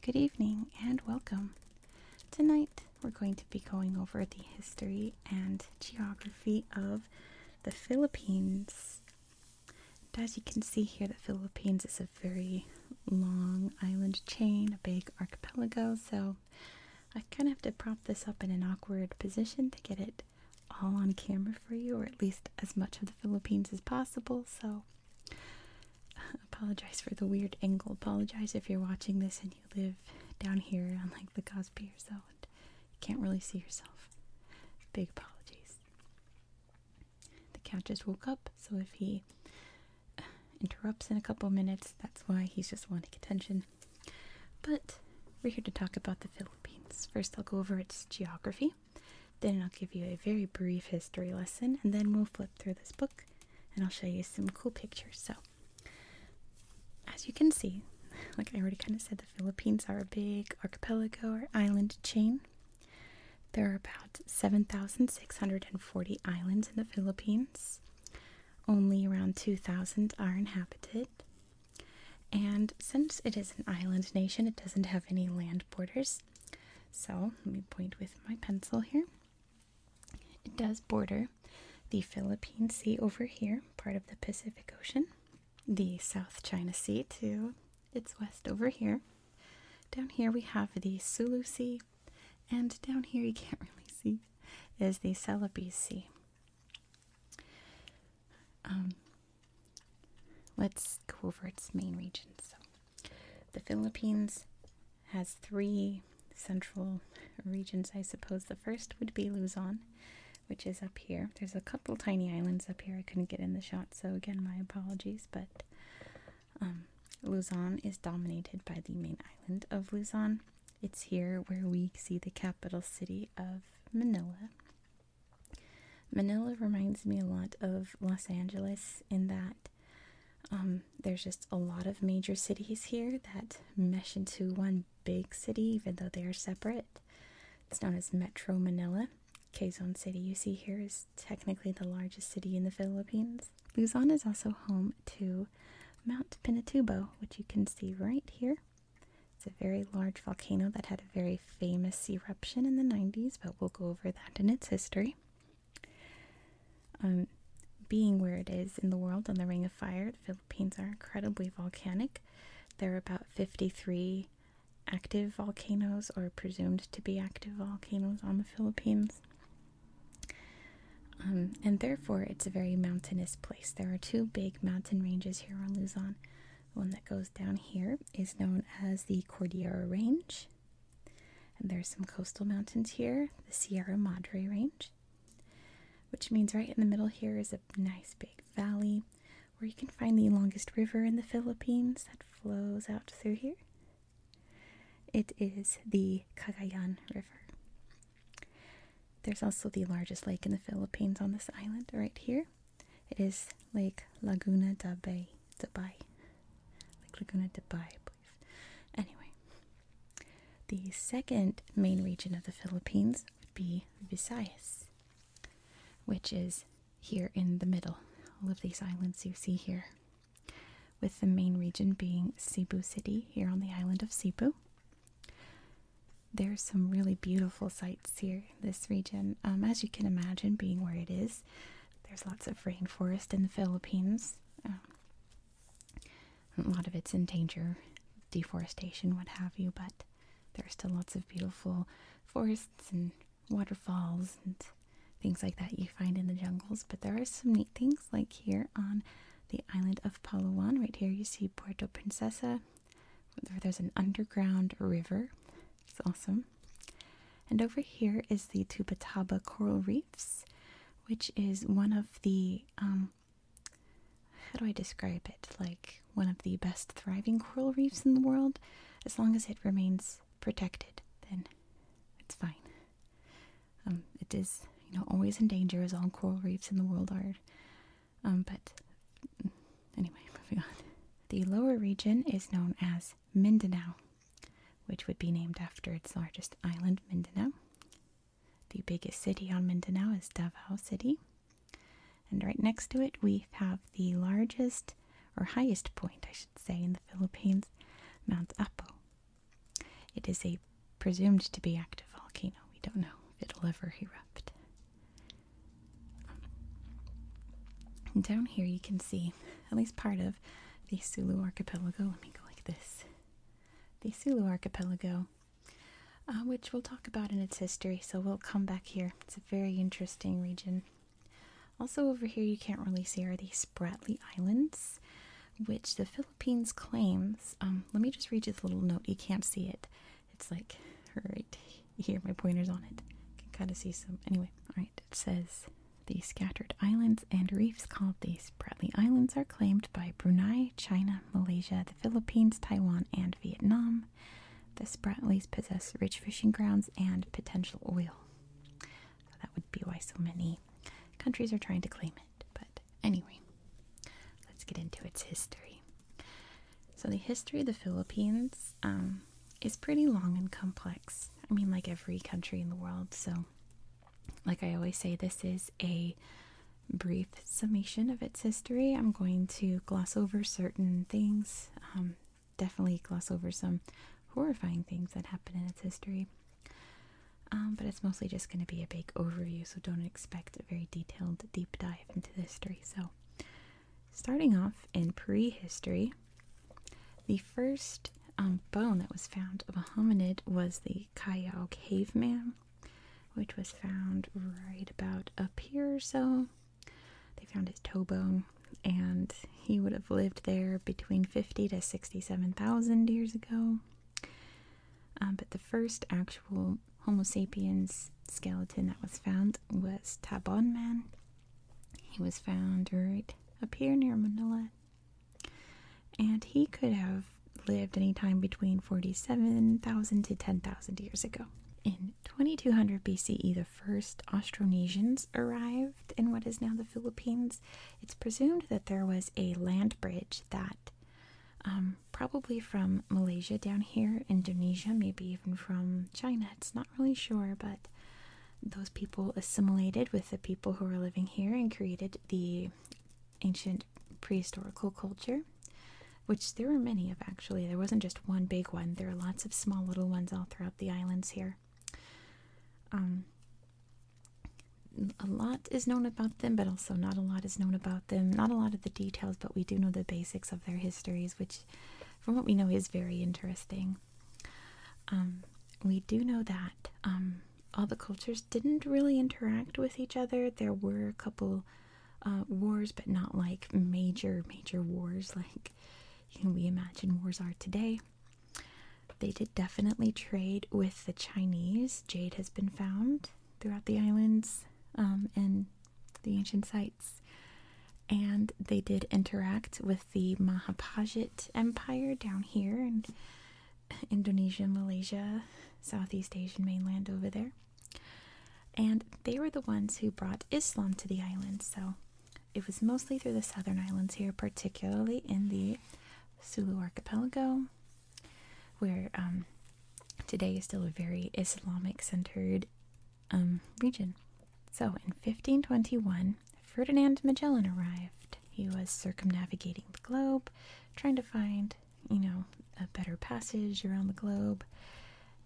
Good evening and welcome. Tonight we're going to be going over the history and geography of the Philippines. as you can see here, the Philippines is a very long island chain, a big archipelago, so I kind of have to prop this up in an awkward position to get it all on camera for you, or at least as much of the Philippines as possible. So, apologize for the weird angle. Apologize if you're watching this and you live down here on like the Cosby or so and you can't really see yourself. Big apologies. The cat just woke up, so if he uh, interrupts in a couple minutes, that's why he's just wanting attention. But we're here to talk about the Philippines. First, I'll go over its geography, then, I'll give you a very brief history lesson, and then we'll flip through this book and I'll show you some cool pictures. So, as you can see, like I already kind of said, the Philippines are a big archipelago or island chain. There are about 7,640 islands in the Philippines. Only around 2,000 are inhabited. And since it is an island nation, it doesn't have any land borders. So let me point with my pencil here. It does border the Philippine Sea over here, part of the Pacific Ocean, the South China Sea too. its west over here. Down here we have the Sulu Sea, and down here you can't really see is the Celebes Sea. Um, let's go over its main regions. So, the Philippines has three central regions, I suppose. The first would be Luzon, which is up here. There's a couple tiny islands up here I couldn't get in the shot, so again, my apologies, but um, Luzon is dominated by the main island of Luzon. It's here where we see the capital city of Manila. Manila reminds me a lot of Los Angeles in that um, there's just a lot of major cities here that mesh into one big city, even though they are separate. It's known as Metro Manila. Quezon City, you see here, is technically the largest city in the Philippines. Luzon is also home to Mount Pinatubo, which you can see right here. It's a very large volcano that had a very famous eruption in the 90s, but we'll go over that in its history. Um, being where it is in the world on the Ring of Fire, the Philippines are incredibly volcanic. There are about 53 active volcanoes, or presumed to be active volcanoes, on the Philippines. Um, and therefore it's a very mountainous place. There are two big mountain ranges here on Luzon. one that goes down here is known as the Cordillera Range, and there's some coastal mountains here, the Sierra Madre Range, which means right in the middle here is a nice big valley where you can find the longest river in the Philippines that flows out through here. It is the Cagayan River. There's also the largest lake in the Philippines on this island right here. It is Lake Laguna de Bay, de Bay. Laguna de Bay, please. Anyway, the second main region of the Philippines would be Visayas, which is here in the middle. All of these islands you see here, with the main region being Cebu City here on the island of Cebu. There's some really beautiful sights here, this region. Um, as you can imagine, being where it is, there's lots of rainforest in the Philippines. Um, a lot of it's in danger, deforestation, what have you, but there's still lots of beautiful forests and waterfalls and things like that you find in the jungles. But there are some neat things, like here on the island of Palawan. Right here, you see Puerto Princesa. There's an underground river. It's awesome. And over here is the Tupataba Coral Reefs, which is one of the, um, how do I describe it? Like one of the best thriving coral reefs in the world. As long as it remains protected, then it's fine. Um, it is, you know, always in danger, as all coral reefs in the world are. Um, but mm, anyway, moving on. The lower region is known as Mindanao, which would be named after its largest island, Mindanao. The biggest city on Mindanao is Davao City. And right next to it, we have the largest or highest point, I should say, in the Philippines, Mount Apo. It is a presumed to be active volcano. We don't know if it'll ever erupt. Um, down here you can see at least part of the Sulu Archipelago. Let me go like this. The Sulu Archipelago, uh, which we'll talk about in its history, so we'll come back here. It's a very interesting region. Also over here you can't really see are the Spratly Islands, which the Philippines Philippines claims, um, let me just read you the little note. You can't see it. It's like right here, my pointer's on it. You can kind of see some. Anyway, alright, it says the scattered islands and reefs called the Spratly Islands are claimed by Brunei, China, Malaysia, the Philippines, Taiwan, and Vietnam. The Spratlys possess rich fishing grounds and potential oil. that would be why so many countries are trying to claim it. But anyway, let's get into its history. So, the history of the Philippines um, is pretty long and complex. I mean, like every country in the world. So, like I always say, this is a brief summation of its history. I'm going to gloss over certain things, um, definitely gloss over some horrifying things that happened in its history. Um, but it's mostly just going to be a big overview, so don't expect a very detailed deep dive into the history. So, starting off in prehistory, the first um, bone that was found of a hominid was the Callao caveman, which was found right about up here so. They found his toe bone, and he would have lived there between 50 to 67,000 years ago. Um, but the first actual Homo sapiens skeleton that was found was Tabon Man. He was found right up here near Manila. And he could have lived any time between 47,000 to 10,000 years ago. In 2200 BCE, the first Austronesians arrived in what is now the Philippines. It's presumed that there was a land bridge that um, probably from Malaysia down here, Indonesia, maybe even from China. It's not really sure, but those people assimilated with the people who were living here and created the ancient prehistoric culture, which there were many of actually. There wasn't just one big one, there are lots of small little ones all throughout the islands here. Um, a lot is known about them, but also not a lot is known about them. Not a lot of the details, but we do know the basics of their histories, which, from what we know, is very interesting. Um, we do know that um, all the cultures didn't really interact with each other. There were a couple uh, wars, but not like major, major wars like we imagine wars are today. They did definitely trade with the Chinese. Jade has been found throughout the islands um, and the ancient sites. And they did interact with the Mahapajit Empire down here in Indonesia, Malaysia, Southeast Asian mainland over there. And they were the ones who brought Islam to the islands. So it was mostly through the southern islands here, particularly in the Sulu Archipelago, where um, today is still a very Islamic centered um, region. So in 1521, Ferdinand Magellan arrived. He was circumnavigating the globe, trying to find, you know, a better passage around the globe.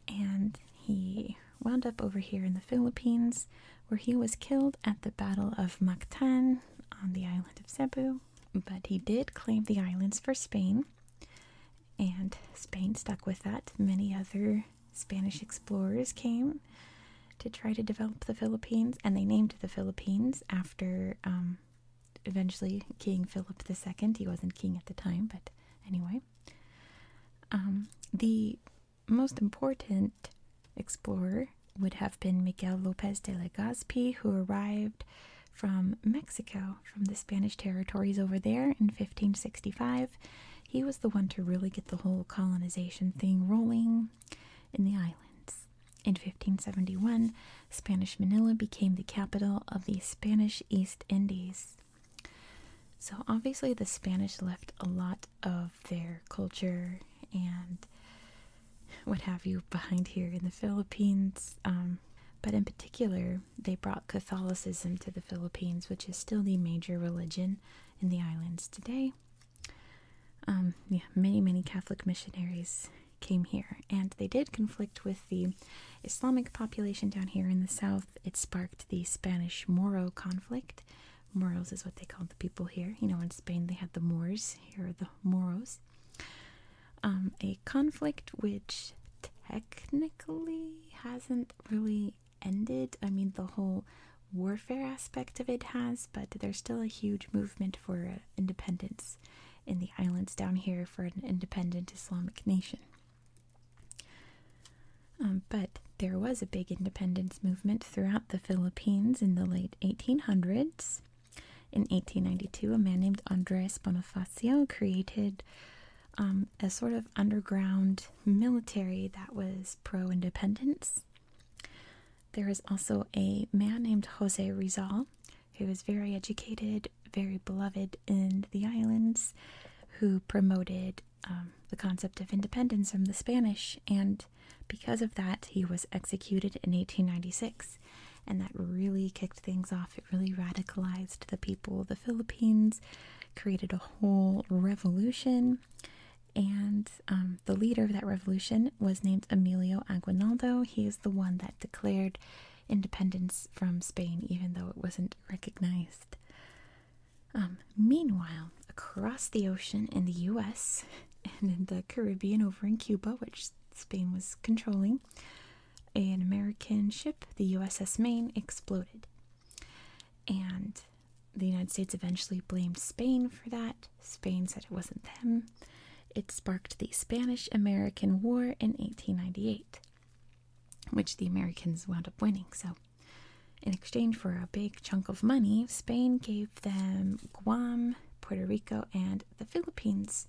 And he wound up over here in the Philippines, where he was killed at the Battle of Mactan on the island of Cebu but he did claim the islands for Spain, and Spain stuck with that. Many other Spanish explorers came to try to develop the Philippines, and they named the Philippines after um, eventually King Philip II. He wasn't king at the time, but anyway. Um, the most important explorer would have been Miguel Lopez de Legazpi, who arrived from Mexico, from the Spanish territories over there in 1565. He was the one to really get the whole colonization thing rolling in the islands. In 1571, Spanish Manila became the capital of the Spanish East Indies. So, obviously, the Spanish left a lot of their culture and what have you behind here in the Philippines. Um, but in particular, they brought Catholicism to the Philippines, which is still the major religion in the islands today. Um, yeah, many, many Catholic missionaries came here, and they did conflict with the Islamic population down here in the south. It sparked the Spanish Moro conflict. Moros is what they called the people here. You know, in Spain they had the Moors, here are the Moros. Um, a conflict which technically hasn't really ended. I mean, the whole warfare aspect of it has, but there's still a huge movement for uh, independence in the islands down here for an independent Islamic nation. Um, but there was a big independence movement throughout the Philippines in the late 1800s. In 1892, a man named Andres Bonifacio created um, a sort of underground military that was pro independence. There was also a man named Jose Rizal who was very educated, very beloved in the islands, who promoted um, the concept of independence from the Spanish, and because of that, he was executed in 1896 and that really kicked things off. It really radicalized the people of the Philippines, created a whole revolution, and um, the leader of that revolution was named Emilio Aguinaldo. He is the one that declared independence from Spain, even though it wasn't recognized. Um, meanwhile, across the ocean in the US and in the Caribbean over in Cuba, which Spain was controlling, an American ship, the USS Maine, exploded. And the United States eventually blamed Spain for that. Spain said it wasn't them. It sparked the Spanish American War in 1898, which the Americans wound up winning. So, in exchange for a big chunk of money, Spain gave them Guam, Puerto Rico, and the Philippines.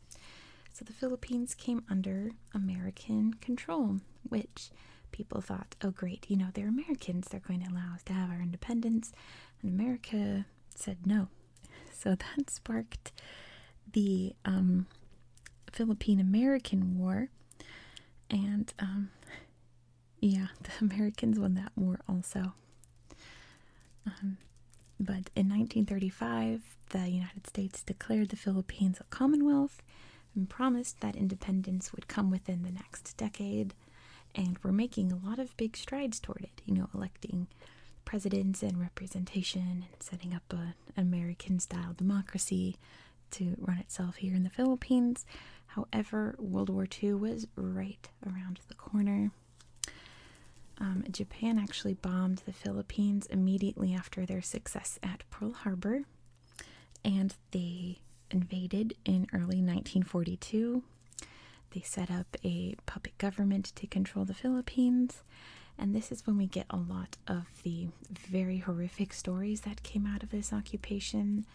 So the Philippines came under American control, which people thought, oh, great, you know, they're Americans, they're going to allow us to have our independence. And America said no. So that sparked the um, Philippine American War. And um, yeah, the Americans won that war also. Um, but in 1935, the United States declared the Philippines a commonwealth and promised that independence would come within the next decade. And we're making a lot of big strides toward it, you know, electing presidents and representation and setting up a, an American style democracy to run itself here in the Philippines. However, World War II was right around the corner. Um, Japan actually bombed the Philippines immediately after their success at Pearl Harbor, and they invaded in early 1942. They set up a puppet government to control the Philippines, and this is when we get a lot of the very horrific stories that came out of this occupation.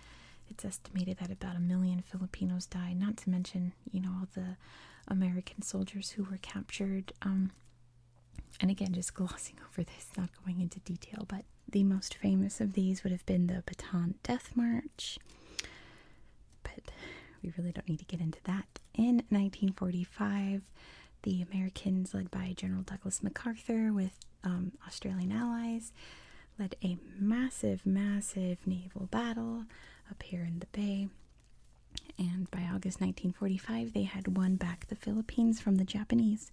It's estimated that about a million Filipinos died, not to mention you know all the American soldiers who were captured. Um, and again, just glossing over this, not going into detail, but the most famous of these would have been the Baton Death March. But we really don't need to get into that. In 1945, the Americans, led by General Douglas MacArthur with um, Australian allies, led a massive, massive naval battle up here in the bay. And by August 1945, they had won back the Philippines from the Japanese,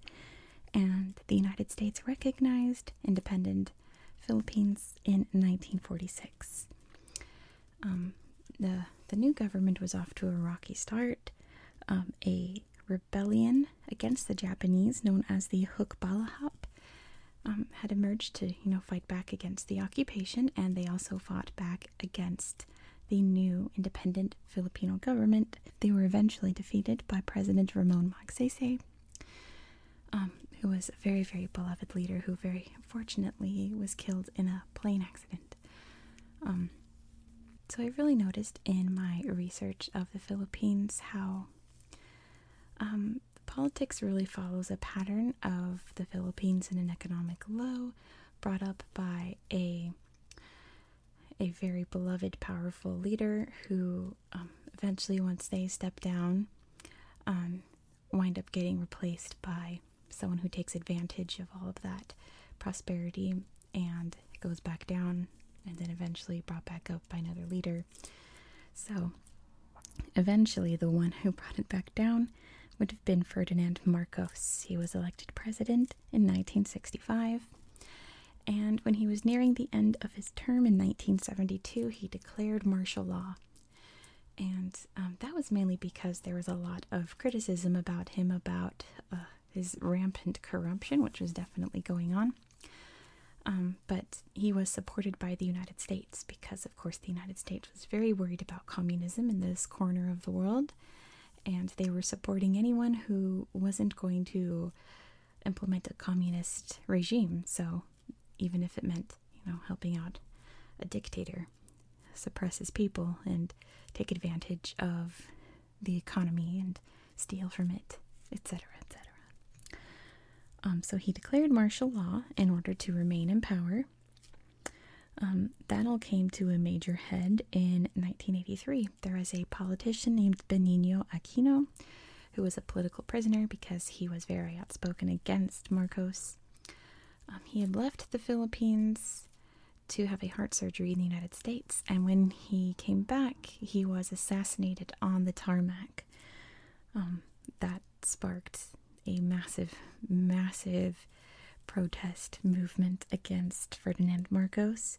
and the United States recognized independent Philippines in 1946. Um, the The new government was off to a rocky start. Um, a rebellion against the Japanese, known as the Hukbalahap, um, had emerged to you know fight back against the occupation, and they also fought back against the new independent Filipino government. They were eventually defeated by President Ramon Magsaysay, um, who was a very, very beloved leader who very fortunately was killed in a plane accident. Um, so I really noticed in my research of the Philippines how um, politics really follows a pattern of the Philippines in an economic low, brought up by a a very beloved, powerful leader who um, eventually, once they step down, um, wind up getting replaced by someone who takes advantage of all of that prosperity and it goes back down and then eventually brought back up by another leader. So eventually, the one who brought it back down would have been Ferdinand Marcos. He was elected president in 1965. And when he was nearing the end of his term in 1972, he declared martial law. And um, that was mainly because there was a lot of criticism about him about uh, his rampant corruption, which was definitely going on. Um, but he was supported by the United States because of course, the United States was very worried about communism in this corner of the world, and they were supporting anyone who wasn't going to implement a communist regime. So, even if it meant, you know, helping out a dictator, suppress his people, and take advantage of the economy and steal from it, etc., etc. Um, so he declared martial law in order to remain in power. Um, that all came to a major head in 1983. There was a politician named Benigno Aquino who was a political prisoner because he was very outspoken against Marcos. Um, he had left the Philippines to have a heart surgery in the United States, and when he came back, he was assassinated on the tarmac. Um, that sparked a massive, massive protest movement against Ferdinand Marcos.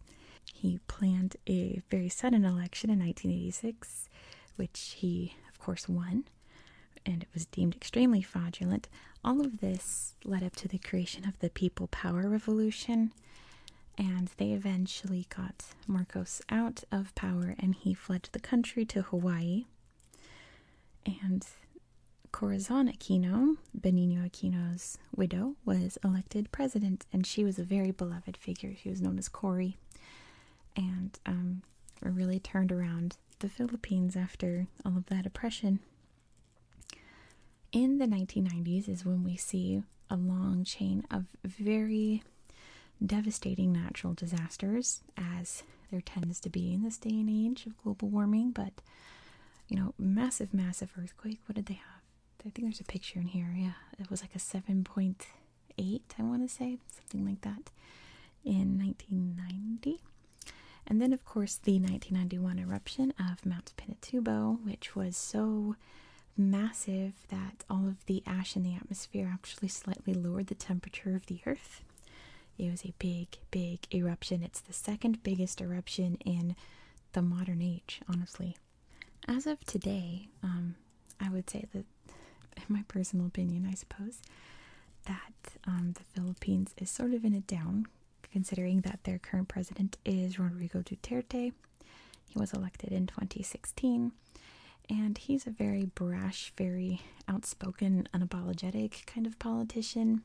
He planned a very sudden election in 1986, which he, of course, won, and it was deemed extremely fraudulent. All of this led up to the creation of the People Power Revolution, and they eventually got Marcos out of power and he fled the country to Hawaii. And Corazon Aquino, Benigno Aquino's widow, was elected president, and she was a very beloved figure. She was known as Cori, and um, really turned around the Philippines after all of that oppression. In the 1990s is when we see a long chain of very devastating natural disasters, as there tends to be in this day and age global warming, but you know, massive, massive earthquake. What did they have? I think there's a picture in here. Yeah, it was like a 7.8, I want to say, something like that, in 1990. And then, of course, the 1991 eruption of Mount Pinatubo, which was so massive that all of the ash in the atmosphere actually slightly lowered the temperature of the earth. It was a big, big eruption. It's the second biggest eruption in the modern age, honestly. As of today, um, I would say that, in my personal opinion, I suppose, that um, the Philippines is sort of in a down, considering that their current president is Rodrigo Duterte. He was elected in 2016, and he's a very brash, very outspoken, unapologetic kind of politician.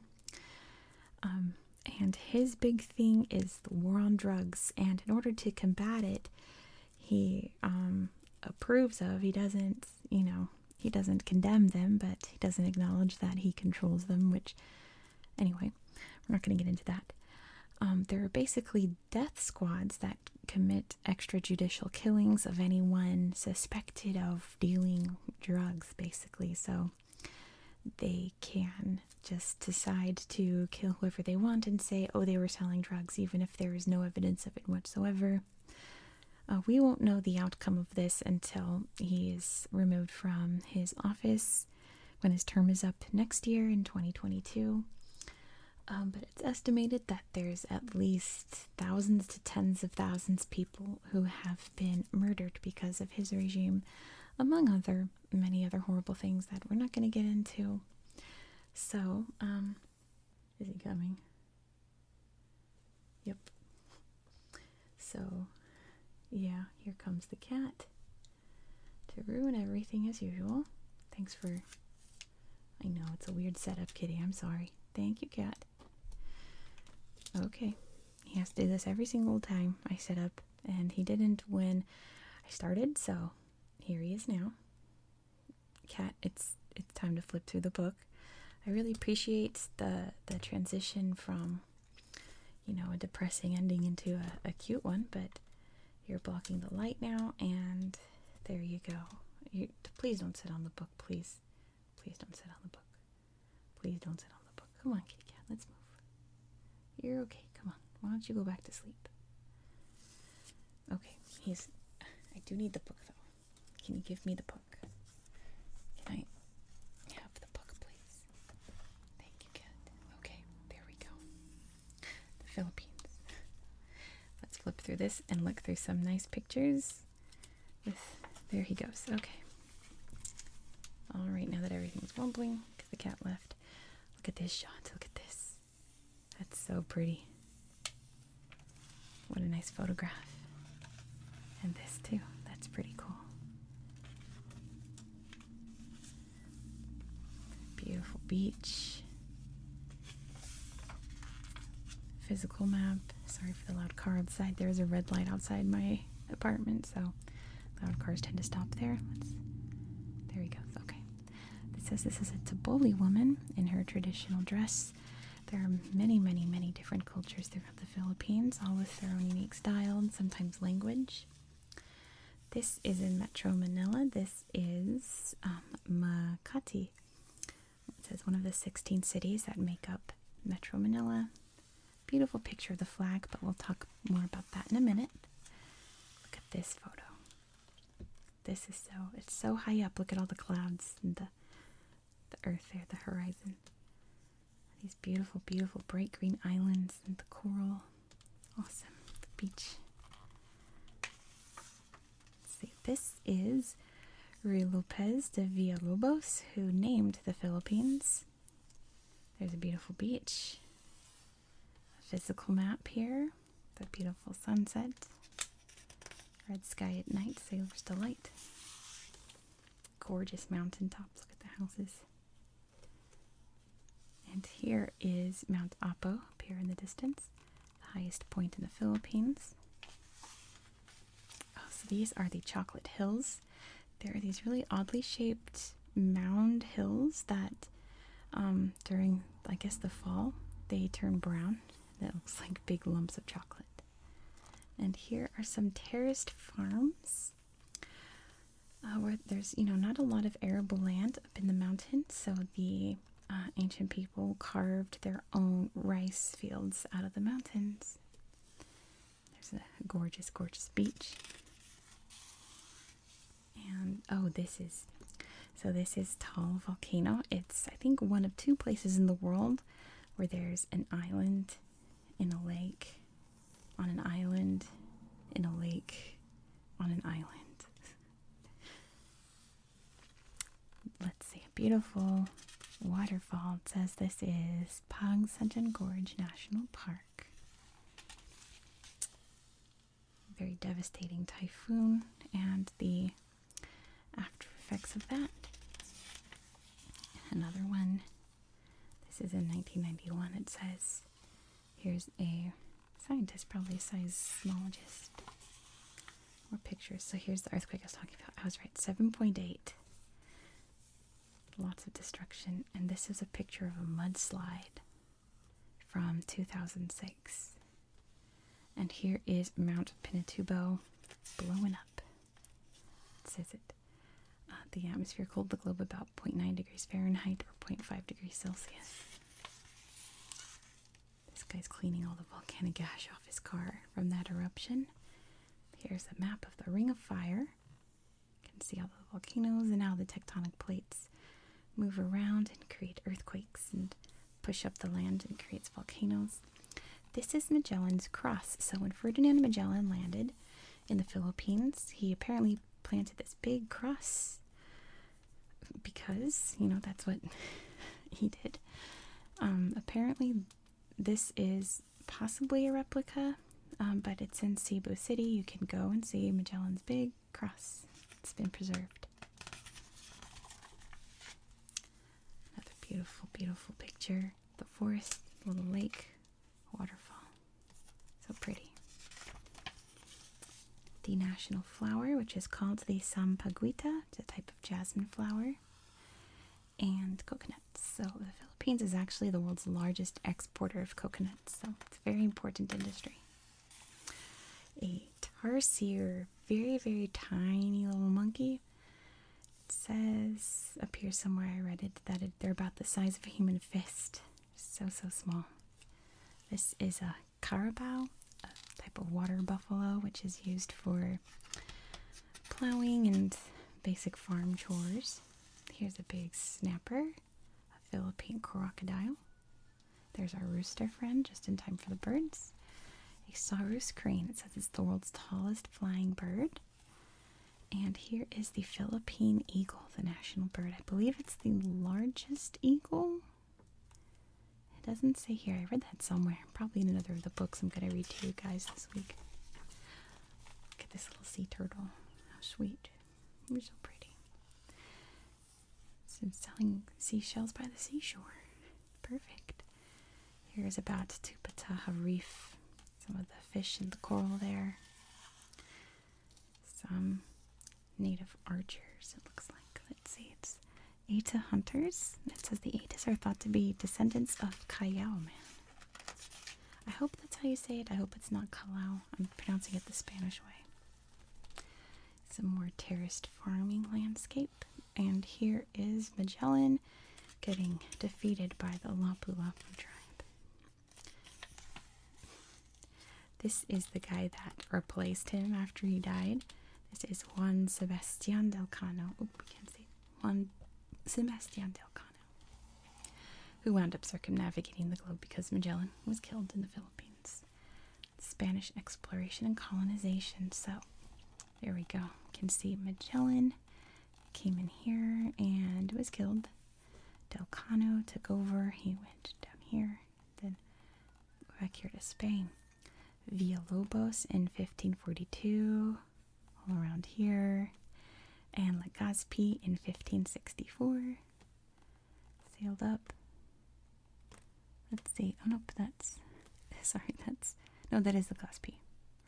Um, and his big thing is the war on drugs. And in order to combat it, he um, approves of, he doesn't, you know, he doesn't condemn them, but he doesn't acknowledge that he controls them, which, anyway, we're not going to get into that. Um, there are basically death squads that commit extrajudicial killings of anyone suspected of dealing drugs, basically. So they can just decide to kill whoever they want and say, oh, they were selling drugs, even if there is no evidence of it whatsoever. Uh, we won't know the outcome of this until he is removed from his office when his term is up next year in 2022. Um, but it's estimated that there's at least thousands to tens of thousands people who have been murdered because of his regime, among other many other horrible things that we're not going to get into. So, um, is he coming? Yep. So, yeah, here comes the cat to ruin everything as usual. Thanks for. I know it's a weird setup, kitty. I'm sorry. Thank you, cat. Okay, he has to do this every single time I set up, and he didn't when I started, so here he is now. Cat, it's it's time to flip through the book. I really appreciate the the transition from you know a depressing ending into a, cute one, but you're blocking the light now, and there you go. please don't sit on the book, please. Please don't sit on the book. Please don't sit on the book. Come on, kitty cat, let's move. You're okay, come on. Why don't you go back to sleep? Okay, he's. I do need the book though. Can you give me the book? Can I have the book, please? Thank you, cat. Okay, there we go. The Philippines. Let's flip through this and look through some nice pictures there he goes. Okay. All right, now that everything's wobbling because the cat left. Look at this shot. Look at this. That's so pretty. What a nice photograph. And this too. That's pretty cool. Beautiful beach. Physical map. Sorry for the loud car outside. There is a red light outside my apartment, so loud cars tend to stop there. Let's. There we go. Okay. It says this is a Taboli woman in her traditional dress. There are many, many, many different cultures throughout the Philippines, all with their own unique style and sometimes language. This is in Metro Manila. This is um, Makati. It says one of the 16 cities that make up Metro Manila. Beautiful picture of the flag, but we'll talk more about that in a minute. Look at this photo. This is so, it's so high up. Look at all the clouds and the, the earth there, the horizon. These beautiful, beautiful bright green islands and the coral. Awesome. The beach. see, this is Ruy Lopez de Villalobos, who named the Philippines. There's a beautiful beach, a physical map here, the beautiful sunset, red sky at night, sailor's delight, gorgeous mountain tops. Look at the houses. And here is Mount Apo up here in the distance, the highest point in the Philippines. Oh, so these are the chocolate hills. There are these really oddly shaped mound hills that um, during, I guess, the fall, they turn brown. That looks like big lumps of chocolate. And here are some terraced farms uh, where there's, you know, not a lot of arable land up in the mountains, so the uh, ancient people carved their own rice fields out of the mountains. There's a gorgeous, gorgeous beach. And oh, this is so this is Tall Volcano. It's I think one of two places in the world where there's an island in a lake on an island in a lake on an island let's see, a beautiful waterfall. It says this is Pang Gorge National Park. Very devastating typhoon and the after effects of that. Another one. This is in 1991. It says, here's a scientist, probably a seismologist, more pictures. So here's the earthquake I was talking about. I was right, 7.8 Lots of destruction. And this is a picture of a mudslide from 2006. And here is Mount Pinatubo blowing up. It says it. Uh, the atmosphere cooled the globe about 0.9 degrees Fahrenheit or 0.5 degrees Celsius. This guy's cleaning all the volcanic ash off his car from that eruption. Here's a map of the Ring of Fire. You can see all the volcanoes and how the tectonic plates move around and create earthquakes and push up the land and creates volcanoes. This is Magellan's cross. So when Ferdinand Magellan landed in the Philippines, he apparently planted this big cross because, you know, that's what he did. Um, apparently, this is possibly a replica, um, but it's in Cebu City. You can go and see Magellan's Big Cross, it's been preserved. Another beautiful, beautiful picture the forest, the little lake, waterfall. So pretty. The national flower, which is called the Sampaguita, it's a type of jasmine flower and coconuts. So the Philippines is actually the world's largest exporter of coconuts. So it's a very important industry. A tarsier, very, very tiny little monkey. says up here somewhere I read it that they're about the size of a human fist. So, so small. This is a carabao, a type of water buffalo, which is used for plowing and basic farm chores. Here's a big snapper, a Philippine crocodile. There's our rooster friend, just in time for the birds. A saurus crane. It says it's the world's tallest flying bird. And here is the Philippine eagle, the national bird. I believe it's the largest eagle. It doesn't say here. I read that somewhere probably in another of the books I'm going to read to you guys this week. Look at this little sea turtle. How sweet. You're so pretty. It's selling seashells by the seashore. Perfect. Here's about Tupataha Reef. Some of the fish and the coral there. Some native archers, it looks like. Let's see, it's Eta hunters. It says the Etas are thought to be descendants of Callao man. I hope that's how you say it. I hope it's not Kalau. I'm pronouncing it the Spanish way. Some more terraced farming landscape. And here is Magellan getting defeated by the Lapu Lapu tribe. This is the guy that replaced him after he died. This is Juan Sebastian del Cano. we can see Juan Sebastian del Cano, who wound up circumnavigating the globe because Magellan was killed in the Philippines. Spanish exploration and colonization. So there we go. You can see Magellan came in here and was killed. Del Cano took over. He went down here, then back here to Spain. Villalobos in 1542 all around here. And Legazpi in 1564 sailed up. Let's see. Oh, nope, that's. Sorry, that's. No, that is the Legazpi,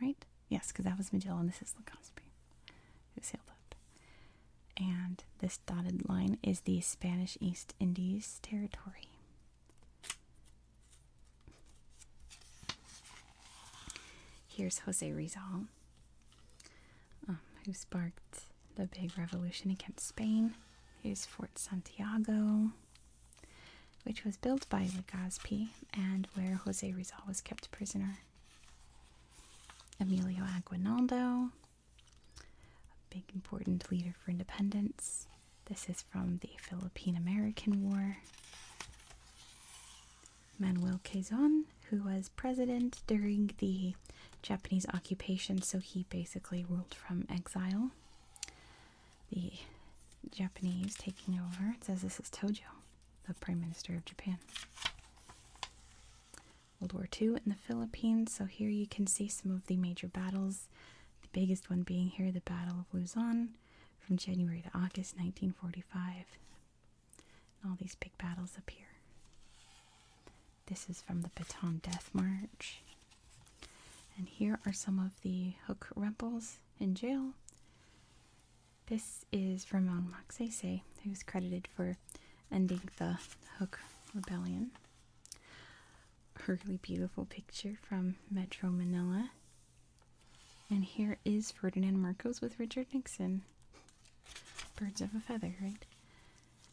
right? Yes, because that was Magellan. This is Legazpi who sailed up. And this dotted line is the Spanish East Indies territory. Here's Jose Rizal, um, who sparked the big revolution against Spain. Here's Fort Santiago, which was built by Legazpi and where Jose Rizal was kept prisoner. Emilio Aguinaldo, a big important leader for independence. This is from the Philippine American War. Manuel Quezon, who was president during the Japanese occupation, so he basically ruled from exile. The Japanese taking over. It says this is Tojo, the Prime Minister of Japan. World War II in the Philippines. So here you can see some of the major battles. The biggest one being here, the Battle of Luzon from January to August 1945. And all these big battles up here. This is from the Baton Death March. And here are some of the Hook rebels in jail. This is Ramon Magsaysay, who's credited for ending the Hook Rebellion. A really beautiful picture from Metro Manila and here is Ferdinand Marcos with Richard Nixon. Birds of a feather, right?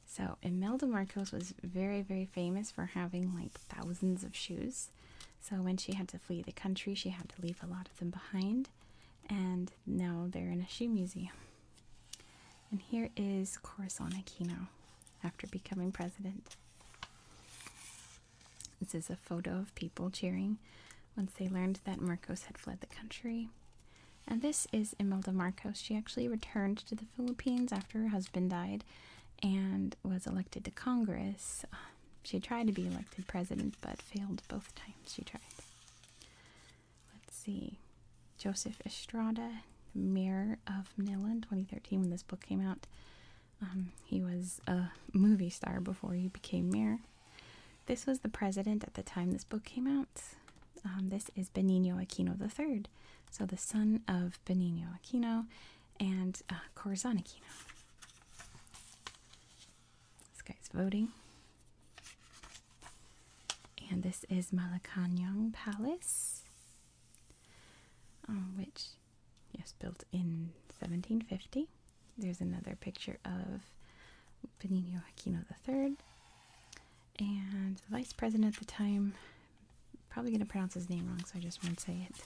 So, Imelda Marcos was very, very famous for having like thousands of shoes. So, when she had to flee the country, she had to leave a lot of them behind. And now they're in a shoe museum. And here is Corazon Aquino after becoming president. This is a photo of people cheering once they learned that Marcos had fled the country. And this is Imelda Marcos. She actually returned to the Philippines after her husband died and was elected to Congress. She tried to be elected president but failed both times she tried. Let's see. Joseph Estrada, mayor of Manila in 2013 when this book came out. Um, he was a movie star before he became mayor. This was the president at the time this book came out. Um, this is Benigno Aquino III, so the son of Benigno Aquino and uh, Corazon Aquino. This guy's voting. And this is Malacanang Palace, um, which Yes, built in 1750. There's another picture of Benigno Aquino III. And the vice president at the time, probably going to pronounce his name wrong, so I just won't say it.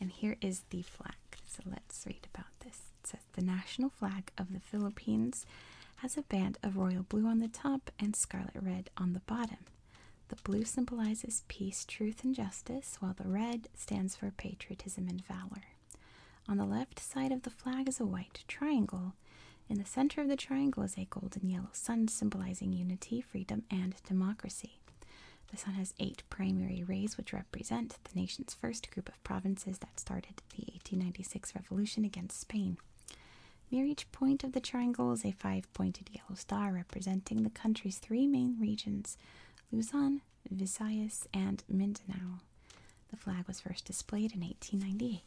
And here is the flag. So let's read about this. It says the national flag of the Philippines has a band of royal blue on the top and scarlet red on the bottom. The blue symbolizes peace, truth, and justice, while the red stands for patriotism and valor. On the left side of the flag is a white triangle. In the center of the triangle is a golden yellow sun symbolizing unity, freedom, and democracy. The sun has eight primary rays, which represent the nation's first group of provinces that started the 1896 revolution against Spain. Near each point of the triangle is a five pointed yellow star representing the country's three main regions Luzon, Visayas, and Mindanao. The flag was first displayed in 1898.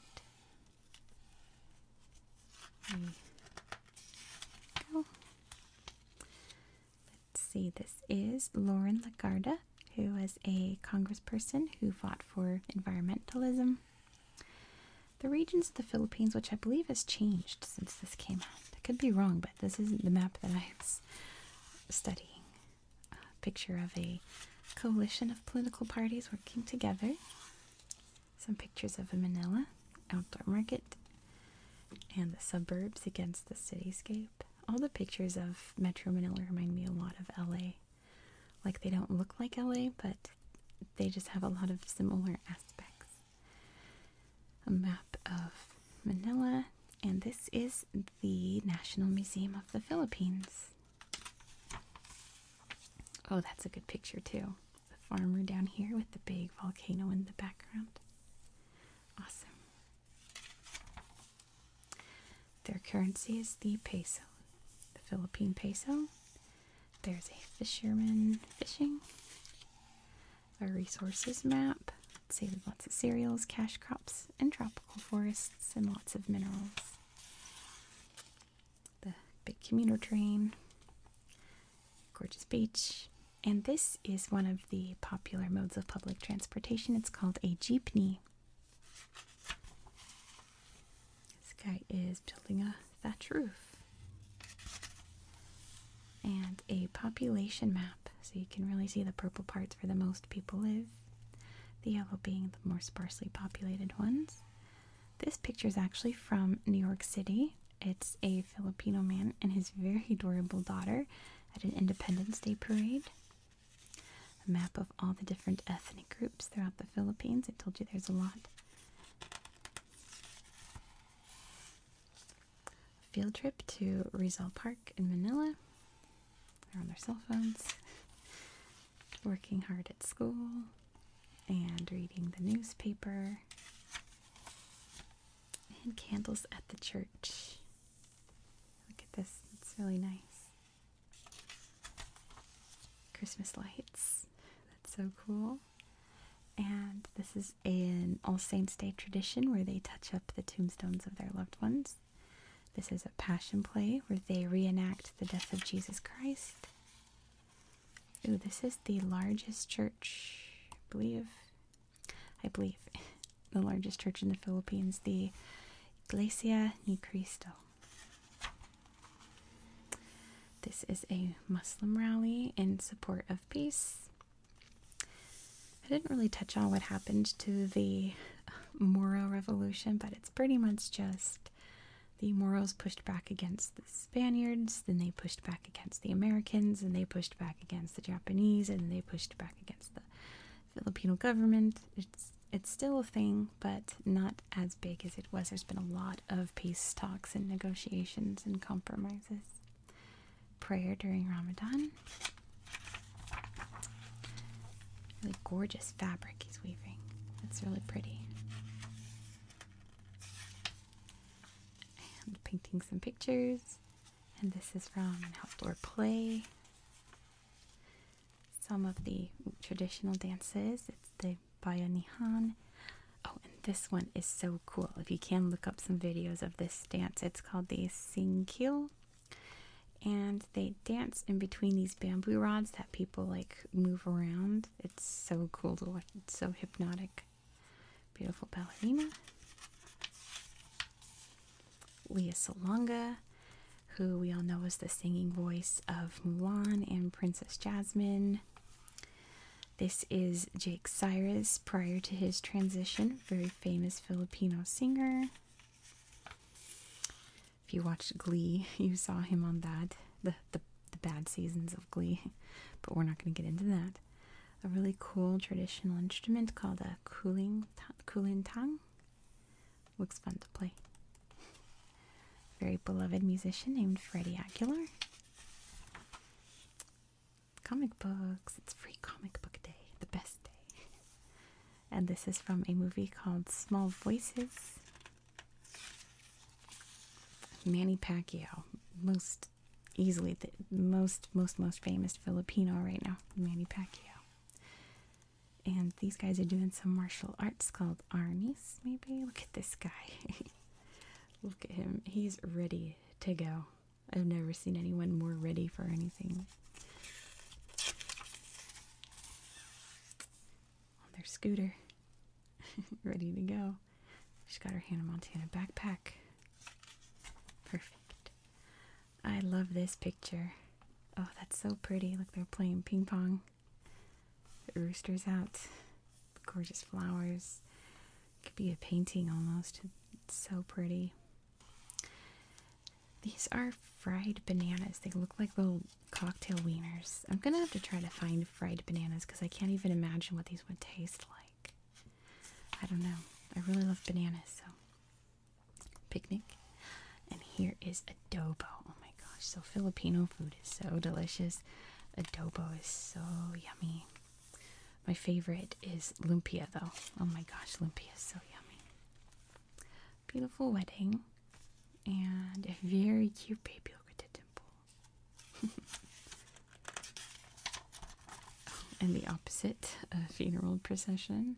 Let's see, this is Lauren Lagarda, who was a congressperson who fought for environmentalism. The regions of the Philippines, which I believe has changed since this came out, I could be wrong, but this is the map that I was studying. A picture of a coalition of political parties working together. Some pictures of a Manila outdoor market and the suburbs against the cityscape. All the pictures of Metro Manila remind me a lot of LA. Like they don't look like LA, but they just have a lot of similar aspects a map of Manila, and this is the National Museum of the Philippines. Oh, that's a good picture, too. The farmer down here with the big volcano in the background. Awesome. Their currency is the peso, the Philippine peso. There's a fisherman fishing a resources map. Let's see, lots of cereals, cash crops, and tropical forests, and lots of minerals. The big commuter train, gorgeous beach, and this is one of the popular modes of public transportation. It's called a jeepney. This guy is building a thatch roof and a population map so you can really see the purple parts where the most people live, the yellow being the more sparsely populated ones. This picture is actually from New York City. It's a Filipino man and his very adorable daughter at an Independence Day parade. A map of all the different ethnic groups throughout the Philippines. I told you there's a lot field trip to Rizal Park in Manila. They're on their cell phones, working hard at school, and reading the newspaper, and candles at the church. Look at this, it's really nice. Christmas lights, that's so cool. And this is is an All Saints' Day tradition where they touch up the tombstones of their loved ones. This is a passion play where they reenact the death of Jesus Christ. Ooh, this is the largest church, I believe. I believe the largest church in the Philippines, the Iglesia Ni Cristo. This is a Muslim rally in support of peace. I didn't really touch on what happened to the Moro Revolution, but it's pretty much just the Moros pushed back against the Spaniards, then they pushed back against the Americans, and they pushed back against the Japanese, and they pushed back against the Filipino government. It's it's still a thing, but not as big as it was. There's been a lot of peace talks and negotiations and compromises prayer during Ramadan. Really gorgeous fabric he's weaving. It's really pretty. And painting some pictures. And this is from outdoor play. Some of the traditional dances. It's the Bayanihan. Oh, and this one is so cool. If you can look up some videos of this dance, it's called these. Singkil. And they dance in between these bamboo rods that people like move around. It's so cool to watch. It's so hypnotic. Beautiful ballerina. Leah Salonga, who we all know is the singing voice of Mulan and Princess Jasmine. This is Jake Cyrus prior to his transition very famous Filipino singer. If you watched Glee, you saw him on that, the, the, bad seasons of Glee, but we're not going to get into that. A really cool traditional instrument called a cooling kulintang. Looks fun to play. Very beloved musician named Freddie Aguilar comic books. It's free comic book day, the best day. and this is from a movie called Small Voices. Manny Pacquiao, most easily the most most most famous Filipino right now, Manny Pacquiao. And these guys are doing some martial arts called Arnis, maybe. Look at this guy. Look at him. He's ready to go. I've never seen anyone more ready for anything. On their scooter, ready to go. She's got her Hannah Montana backpack. Perfect. I love this picture. Oh, that's so pretty. Look, they're playing ping pong. rooster's out. gorgeous flowers. Could be a painting almost. so pretty. These are fried bananas. They look like little cocktail wieners. I'm gonna have to try to find fried bananas because I can't even imagine what these would taste like. I don't know. I really love bananas, so picnic. And here is adobo. Oh my gosh, so Filipino food is so delicious. Adobo is so yummy. My favorite is lumpia, though. Oh my gosh, lumpia is so yummy. Beautiful wedding, and a very cute baby. Look at the dimple. and the opposite, a funeral procession.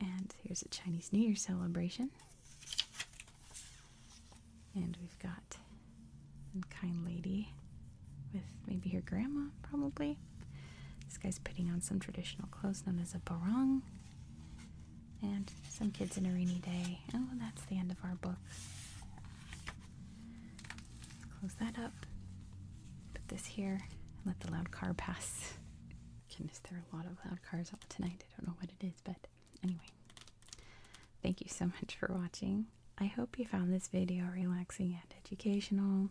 And here's a Chinese New Year celebration. And we've got a kind lady with maybe her grandma, probably. This guy's putting on some traditional clothes known as a barong. And some kids in a rainy day. Oh, that's the end of our book. Close that up. Put this here. let the loud car pass. Goodness, there are a lot of loud cars out tonight. I don't know what it is, but anyway. Thank you so much for watching. I hope you found this video relaxing and educational.